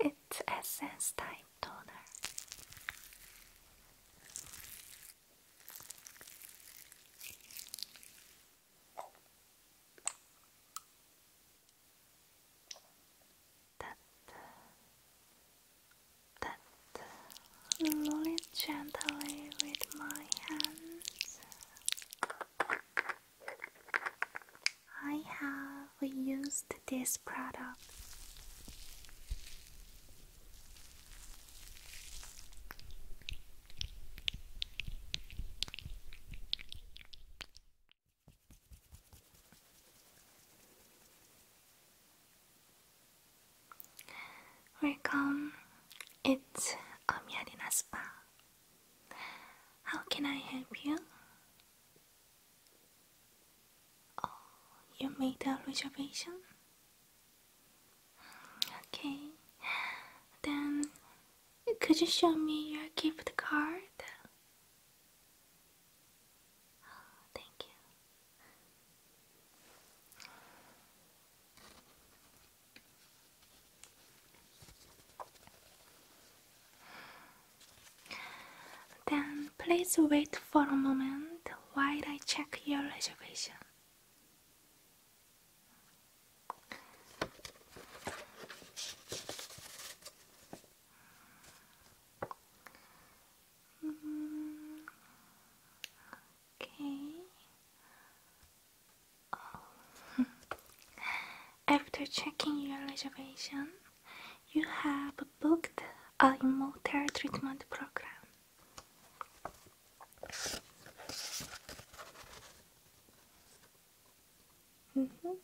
It's Essence Time Toner that really gently with my hands. I have used this product Welcome. It's Omiarina um, Spa. Uh, how can I help you? Oh, you made a reservation? Okay, then could you show me your gift card? thank you. Then please wait for a moment while I check your reservation okay. Um, after checking your reservation, you have booked a motor treatment program. Mm -hmm.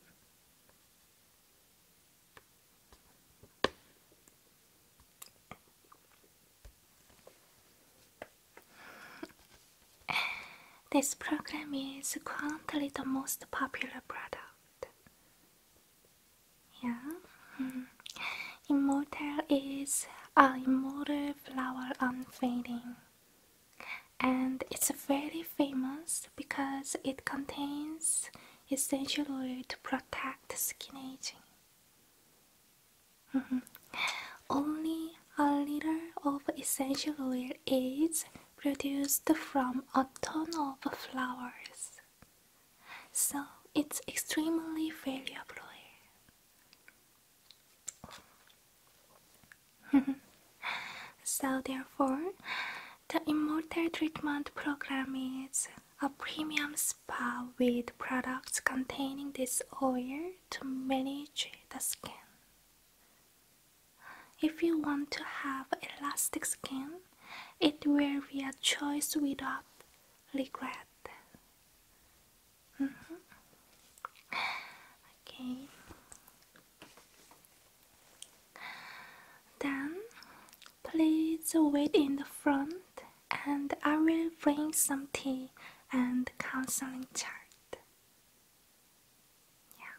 This program is currently the most popular product. Yeah. Mm-hmm. Immortal is an immortal flower unfading, and it's very famous because it contains essential oil to protect skin aging. Mm-hmm. Only a liter of essential oil is produced from a ton of flowers, so it's extremely valuable. so, therefore, the Immortal Treatment Program is a premium spa with products containing this oil to manage the skin. If you want to have elastic skin, it will be a choice without regret. Mm -hmm. Okay. Then please wait in the front and I will bring some tea and counseling chart. Yeah.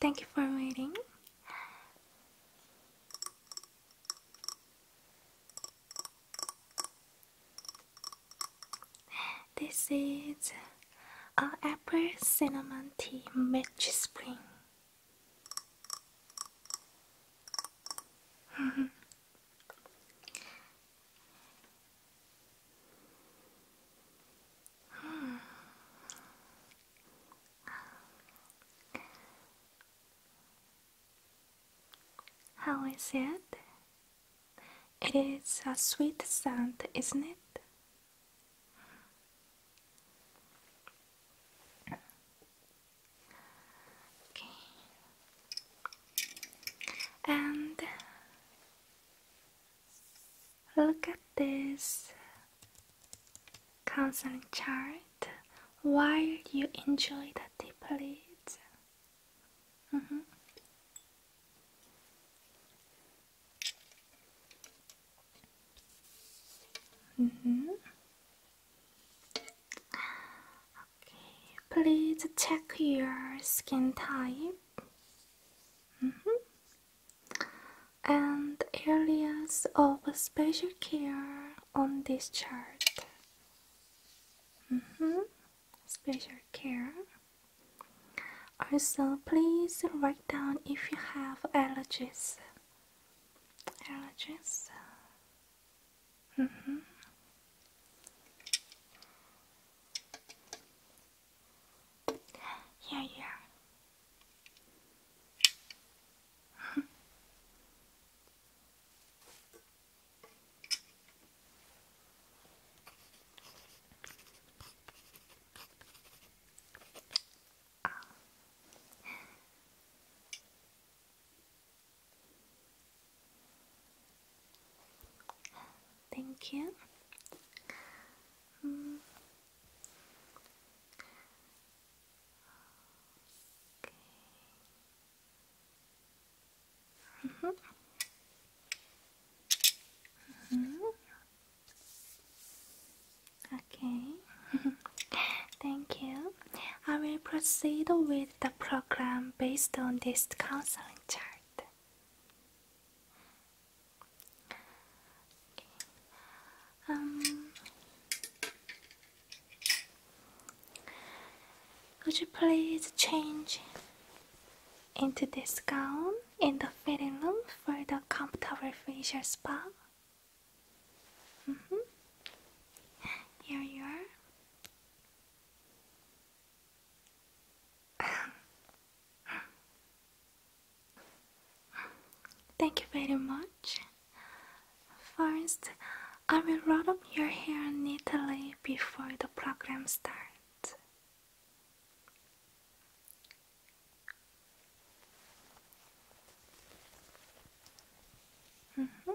Thank you for waiting. This is our uh, apple cinnamon tea match spring. Mm-hmm. Hmm. How is it? It is a sweet scent, isn't it? Okay. And Look at this counseling chart while you enjoy the deep mm-hmm. Mm-hmm. please check your skin type. Mm-hmm and areas of special care on this chart. Mm-hmm. Special care. Also, please write down if you have allergies. Allergies. Mm-hmm. Yeah, yeah. Thank you. Mm. Mm -hmm. Mm -hmm. Okay, thank you. I will proceed with the program based on this counseling chart. Um, would you please change into this gown in the fitting room for the comfortable facial spa? Mm -hmm. Here you are. Thank you very much. First, I will roll up your hair neatly before the program starts. Mm -hmm.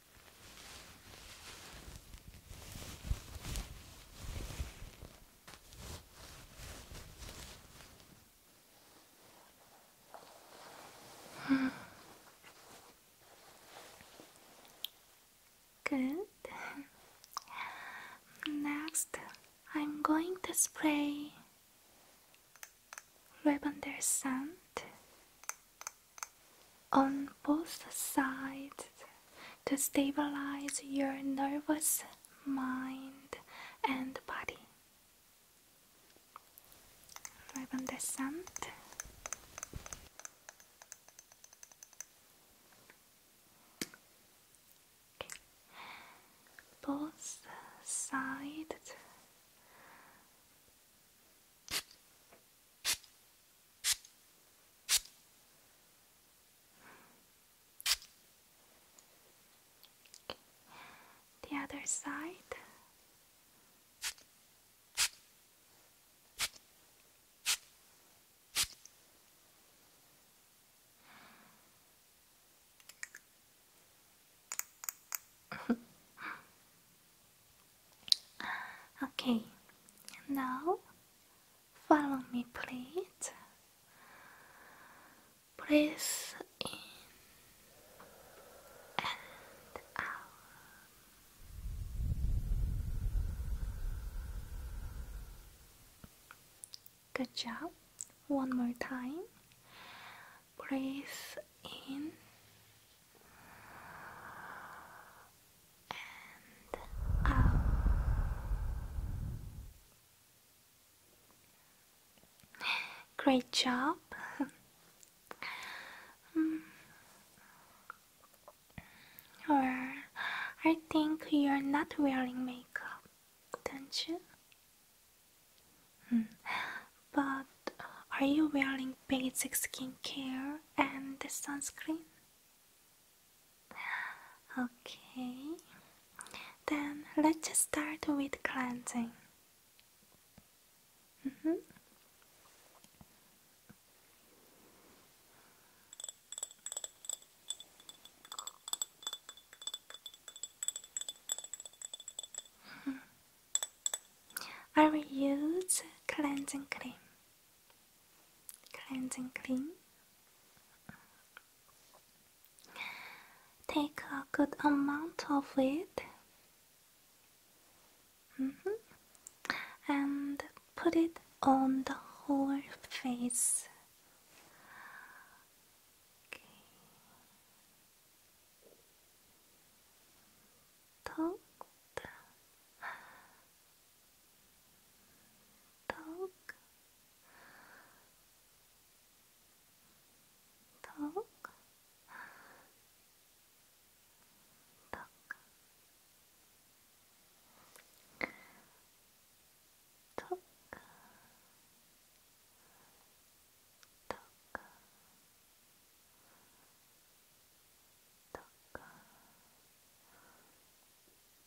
Good. Next, I'm going to spray lavender scent on both sides to stabilize your nervous mind and body. Reibung der Sand. Both sides the other side. okay, now Follow me, please. Breathe in and out. Good job. One more time. Breathe in Oh. Great job. Hmm. Or I think you're not wearing makeup, don't you? Mm. But are you wearing basic skincare and sunscreen? Okay, then let's start with cleansing. Mm -hmm. I will use cleansing cream cleansing cream. Take a good amount of it mm-hmm. and put it on the whole face. Okay. Poke. Poke. Poke. Took, took, took,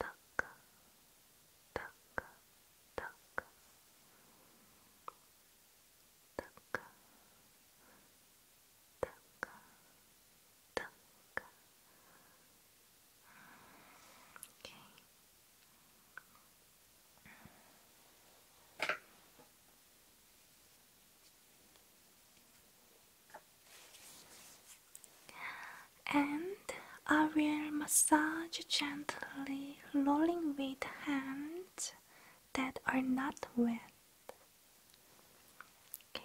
tuck, tuck, tuck, tuck, tuck, tuck. Okay and I will massage gently, rolling with hands that are not wet. Okay.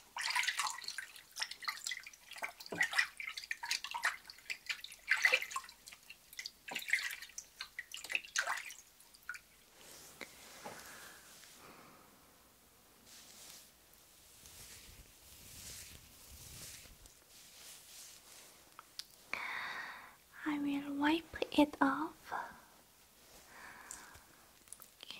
I will wipe it off. Okay.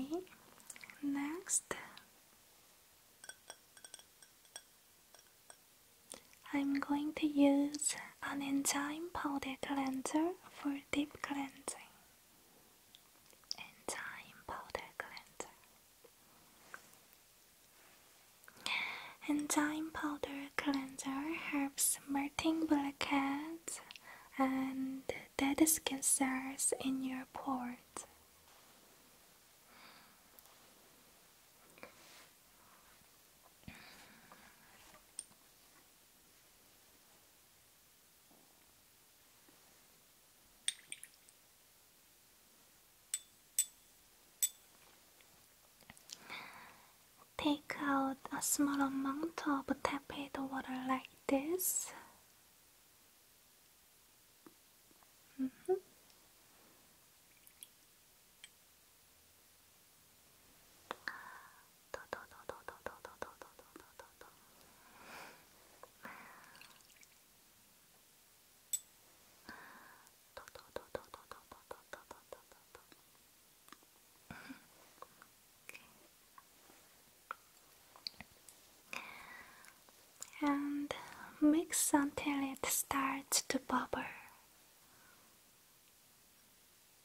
Okay, next I'm going to use an enzyme powder cleanser for deep cleansing. Enzyme powder cleanser. Enzyme powder cleanser helps melting blackheads and dead skin cells in your pores. Take out a small amount of tepid water like this. Mm-hmm and mix until it starts to bubble.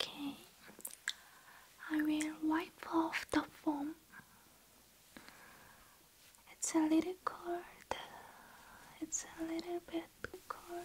Okay, I will wipe off the foam. It's a little cold. It's a little bit cold.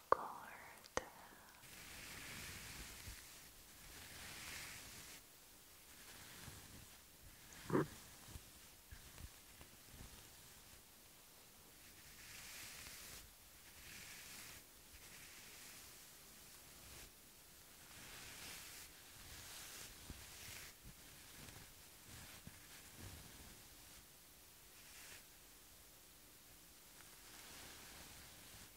cord. Mm.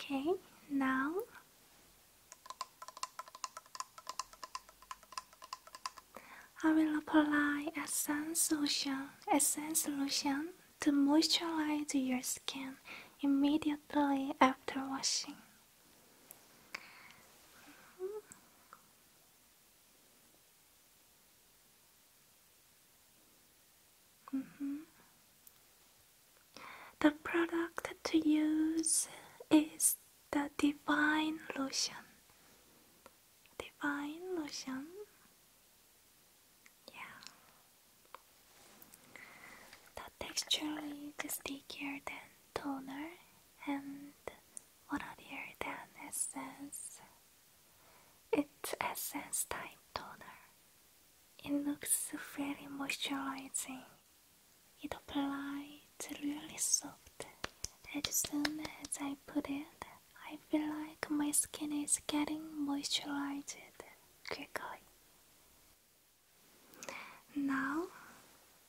Okay, now I will apply a sun Essence a solution to moisturize your skin immediately after washing. Mm-hmm. The product to use is the Divine Lotion. Divine Lotion. Yeah. The texture is thicker than toner and 원어리얼단 essence. It's essence type toner. It looks very moisturizing. It applies really soft. As soon as I put it, I feel like my skin is getting moisturized quickly. Now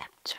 absorbed.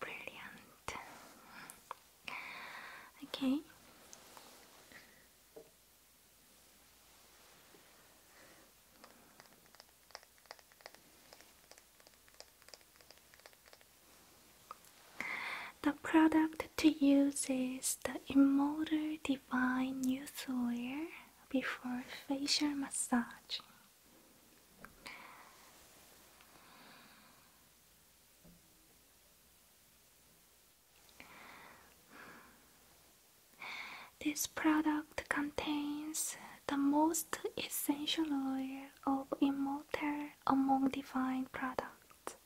Brilliant. Okay. The product to use is the Immortal Divine Youth Wear before facial massage. This product contains the most essential oil of immortal among divine products.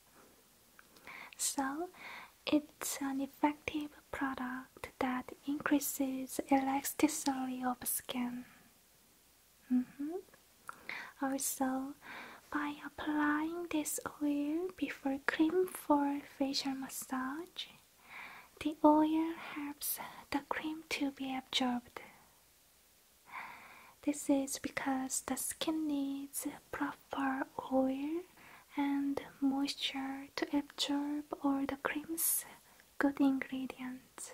So, it's an effective product that increases elasticity of skin. Mm-hmm. Also, by applying this oil before cream for facial massage, the oil helps the cream to be absorbed. This is because the skin needs proper oil and moisture to absorb all the cream's good ingredients.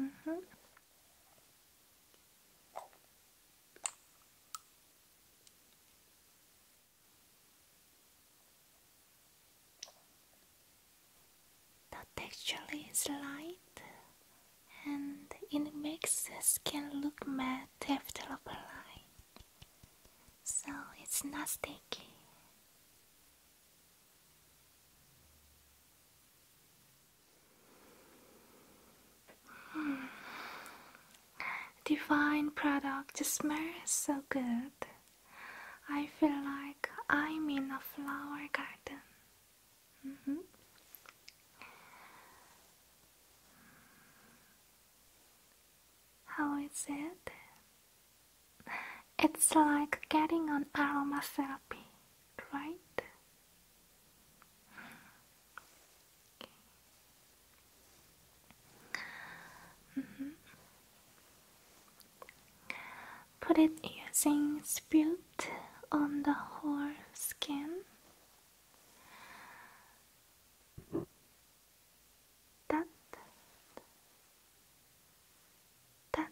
Mm-hmm. The texture is light and it makes the skin look matte after applying, so it's not sticky. Mm. Divine product smells so good. I feel like I'm in a flower garden. Mm -hmm. How is it? It's like getting on aromatherapy, right? Mm-hmm. Put it using spit on the whole skin. That, that,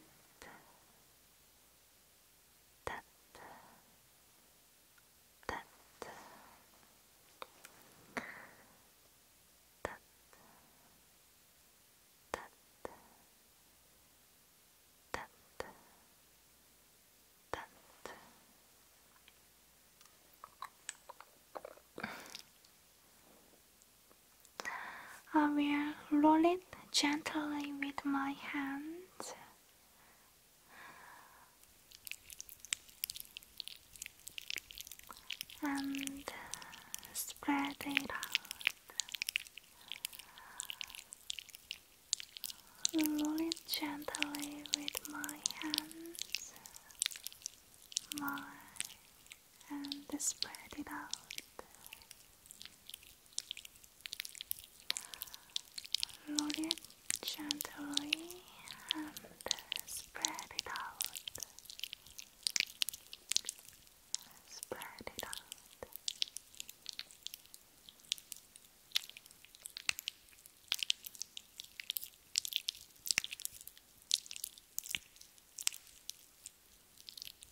I will roll it gently with my hand and spread it out. Roll it gently with my hands, my and spread it out. Roll it gently and Spread it out. Spread it out.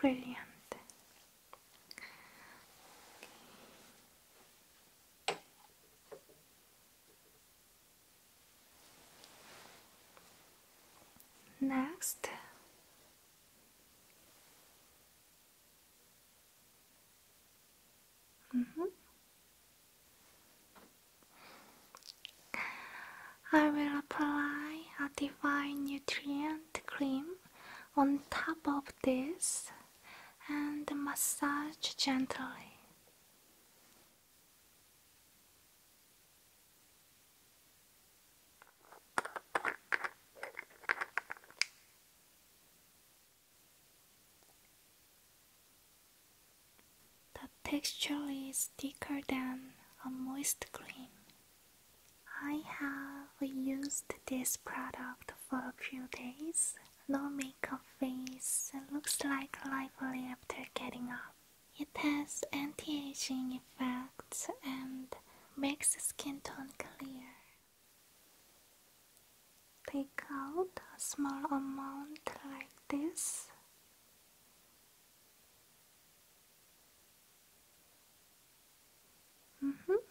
Brilliant. Next, Mm -hmm. I will apply a divine nutrient cream on top of this and massage gently. The texture is thicker than a moist cream. I have used this product for a few days. No makeup face looks like lively after getting up. It has anti-aging effects and makes skin tone clear. Take out a small amount like this. Mm -hmm.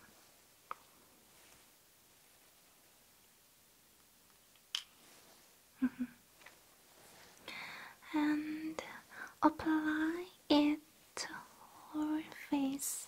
Mm -hmm. And apply it to whole face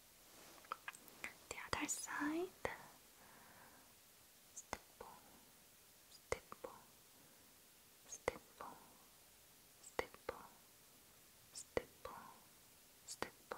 The other side. Step on, step on, step on, step on, step on,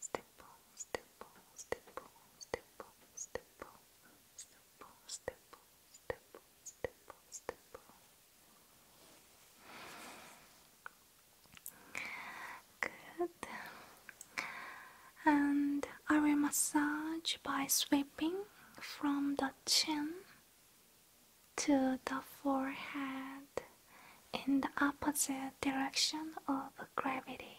stipple, stipple, stipple, stipple, stipple, stipple, stipple, stipple, stipple, stipple. Good. And I will massage by sweeping from the chin to the forehead in the opposite direction of gravity.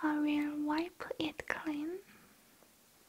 I will wipe it clean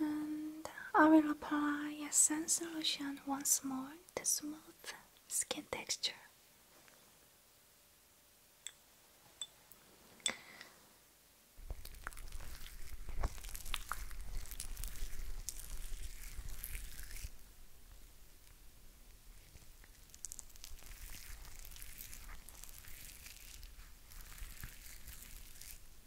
and I will apply a sun solution once more to smooth skin texture.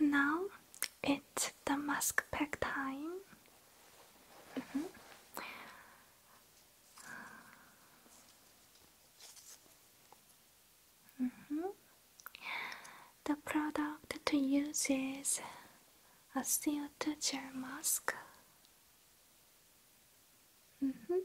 Now, in it's the mask pack time. Mm-hmm. Mm-hmm. The product to use is a CO2 gel mask. Mm-hmm.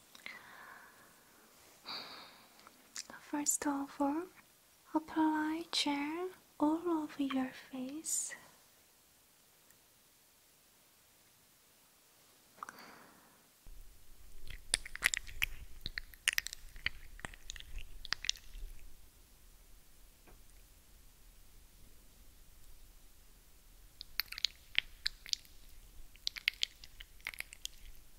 First of all, apply gel all over your face.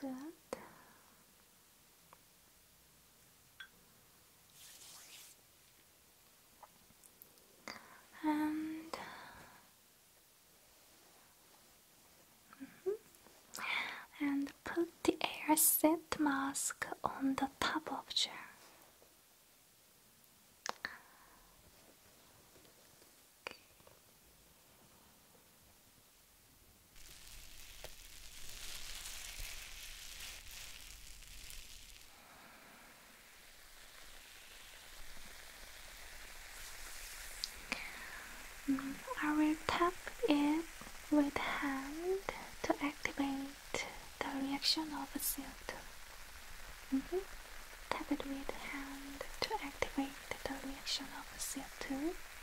And mm-hmm. and put the air set mask on the top of chair. Mm, I will tap it with hand to activate the reaction of a silt. Mm-hmm. Tap it with hand to activate the reaction of CO2.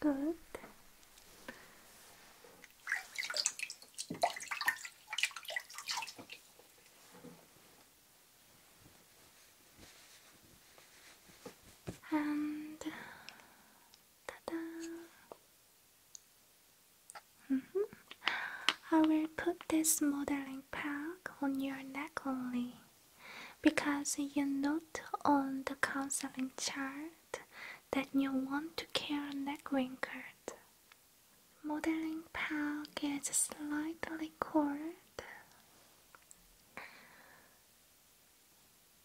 Good. And ta mm-hmm. I will put this modeling pack on your neck only because you note on the counseling chart that you want to carry a neck wrinkled. Modeling pack is slightly cold.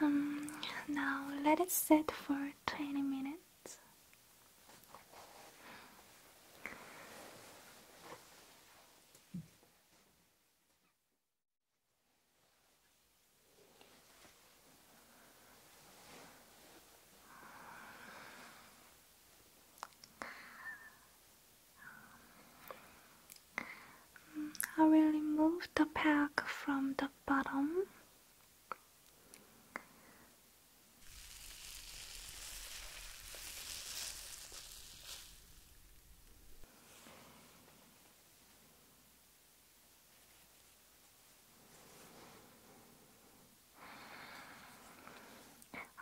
Um, now let it sit for 20 minutes. I will remove the pack from the bottom.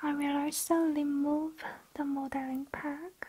I will also remove the modeling pack.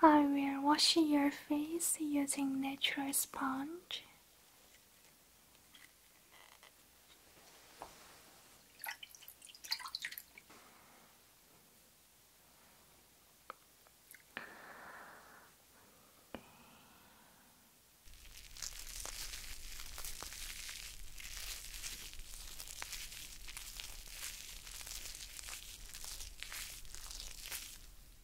I will wash your face using natural sponge.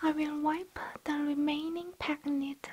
I will wipe the remaining pack neatly.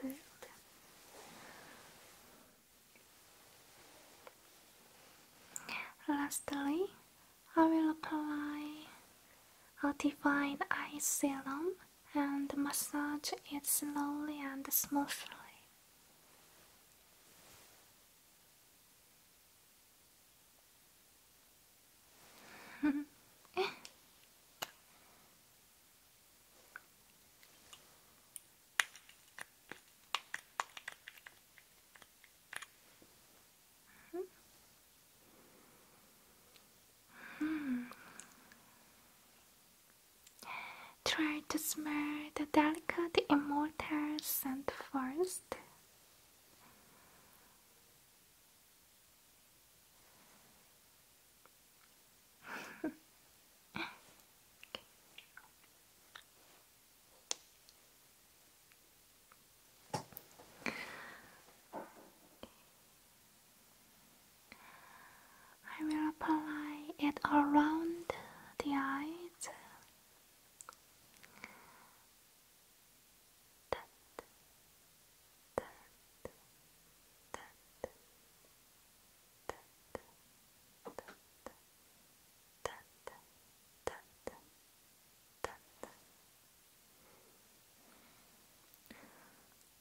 Good. Lastly, I will apply a defined eye serum and massage it slowly and smoothly. Hmm. Try to smell the delicate immortals and forest. I will apply it around the eyes.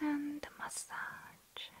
don't, And massage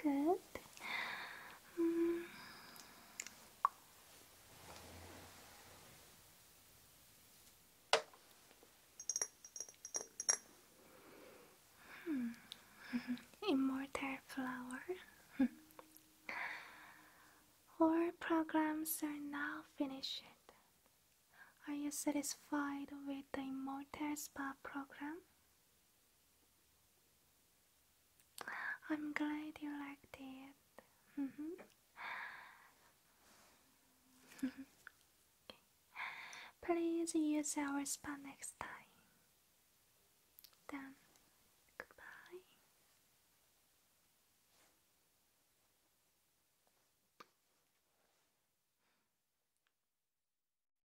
good. Immortal hmm. flower. All programs are now finished. Are you satisfied with the Immortal Spa program? I'm glad you liked it. Mm -hmm. Please use our spa next time. Then, goodbye.